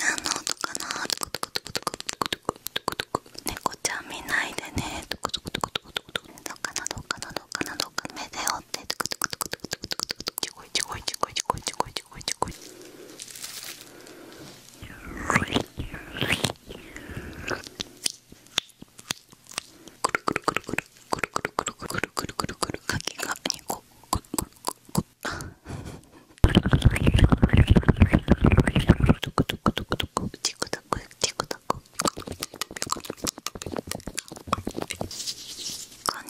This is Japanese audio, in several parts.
なんの音かなトコトコトコトコトコトコトコ猫ちゃん見ないでねトコトコトコトコトコどうかなどうかなどうかなどうかな目で追ってトコトコトコトコトコトコトコトコチコイチコイチコイチコイチコイチコイチコイくるくるくるくるくるくるくるくるくるくるくるかきが2個くるくるくるトクトクトクトクチクタクチクタクこん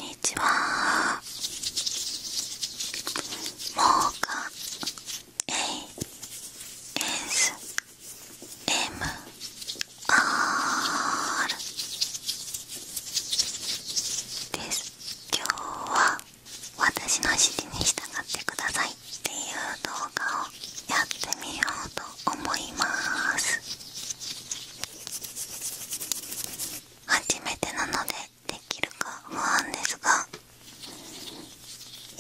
にちはー…もうか A S M R です今日は私の指示に従ってくださいっていう動画をやってみようと思います初めてなのでできるか不安ですが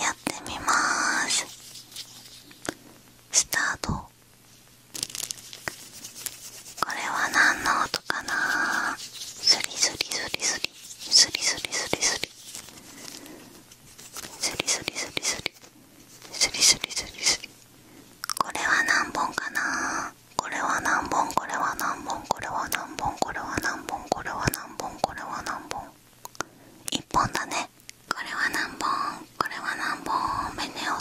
やってみますスタートこれは何の音かなスリスリスリスリスリスリスリスリスリスリスリスリスリスリスリスリこれは何本かなこれは何本これは何本これは何本これは何本これは何本これは何本1本だねこれは何本これは何本目ネオ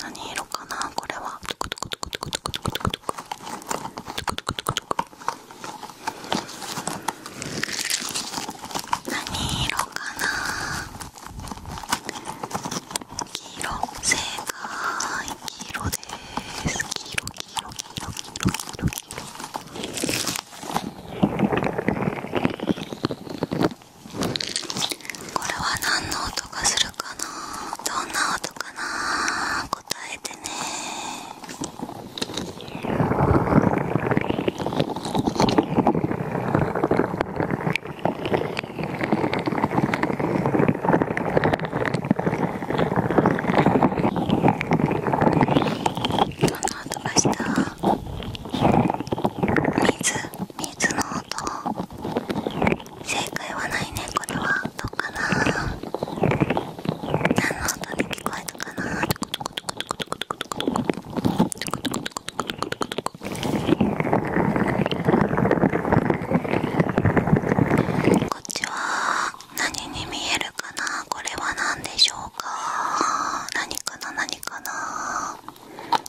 何色かなこれはトクトクトクトクトクトクトクトクトクトクトク何色かな黄色正解黄色です黄色黄色黄色黄色黄色黄色これは何の音がするかなどんな音かな答えてねどんな音がした水水の音正解はないねこれはどうかな何の音で聞こえたかなこっちは何に見えるかなこれは何でしょうか何かな何かな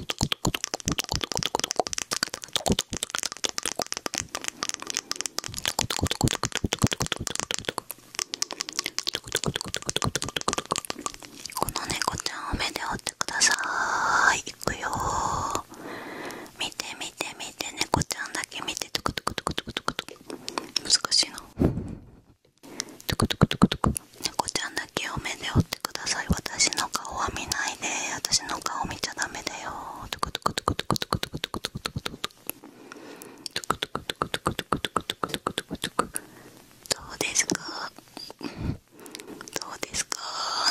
この猫ちゃんを目で追ってくださいいくよー見て見て見て猫ちゃんだけ見てトクトクトクトクトク難しいなトクトクトクトク猫ちゃんだけお目で追ってください私の顔は見ないで私の顔見ちゃダメだよトクトクトクトクトクトクトクトクトクトクトクトクトクトクトクトクトクトクトクどうですかどうですか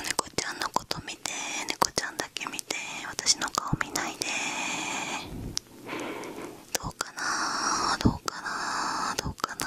猫ちゃんのこと見て猫ちゃんだけ見て私の顔見ないでどうかなどうかなどうかな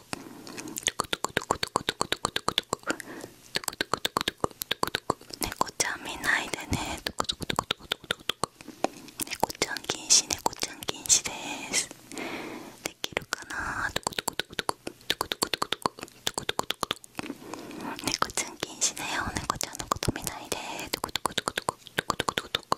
トクトクトクトクトクトクトクトクトクトクトクトクトク猫ちゃん見ないでねトクトクトクトクトクトク猫ちゃん禁止猫ちゃん禁止ですできるかなトクトクトクトクトクトクトクトクトクトクトク猫ちゃん禁止だよ猫ちゃんのこと見ないでトクトクトクトクトクトクトク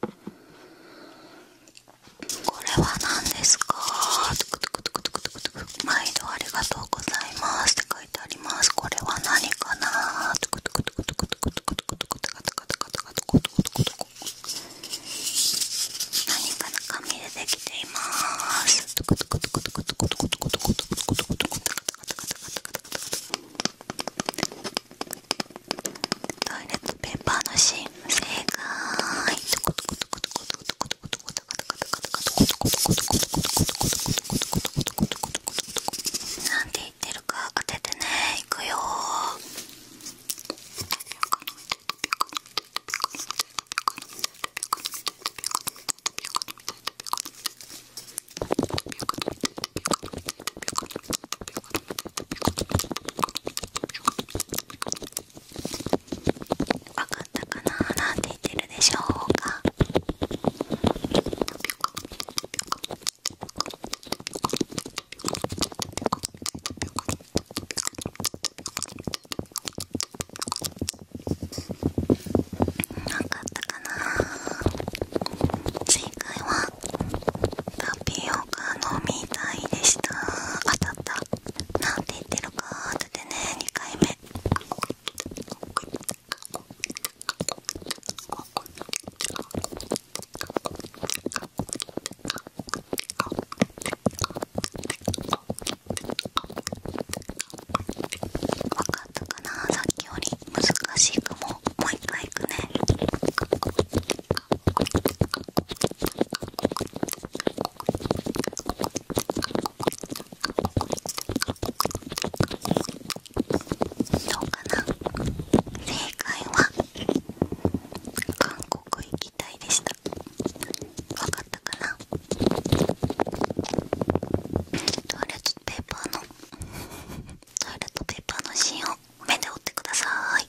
これは何ですか毎度ありがとうございますって書いてありますこれは何かな何かな紙でできていますトイレットペーパーの芯正解なんて言ってるか当ててねいくよわかったかななんて言ってるでしょうかわかったかな正解は「タタピオ飲みたいでした当たったなんて言ってるか当ててね2回目わかったかなさっきより難しいかももう一回いくねどうかな正解は韓国行きたいでした分かったかなトイレットペーパーのトイレットペーパーの芯を目で折ってください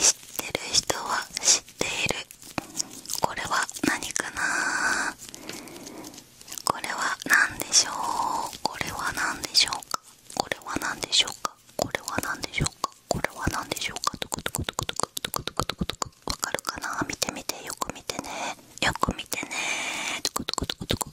知ってる人は知っているこれは何かなこれは何でしょうこれは何でしょうかこれは何でしょうかこれは何でしょうかこれは何でしょうかトクトクトクトクトクトクトクトクわかるかな見てみてよく見てねよく見てねトクトクトクトク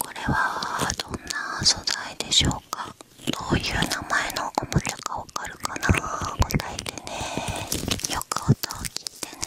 これはどんな素材でしょうかどういう名前のおもちゃかわかるかな答えてねよく音を聞いてね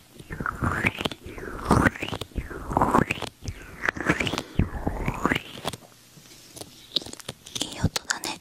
いい音だね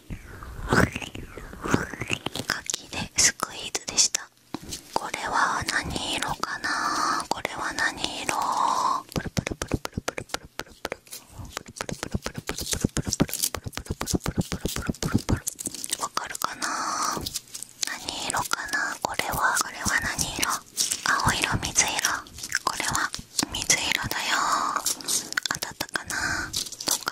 かきでスクイーズでしたこれは何色かなこれは何色プかるかな？何色かな？これはこれは何色？青色水色？これは水色だよ。当たったかな？プル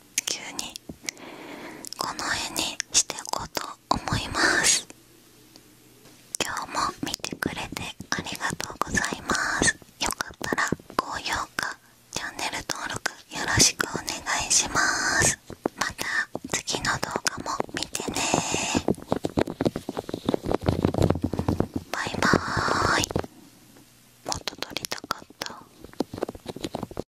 急にこの絵にしていこうと思います今日も見てくれてありがとうございますよかったら高評価チャンネル登録よろしくお願いしますまた次の動画も見てねバイバーイもっと撮りたかった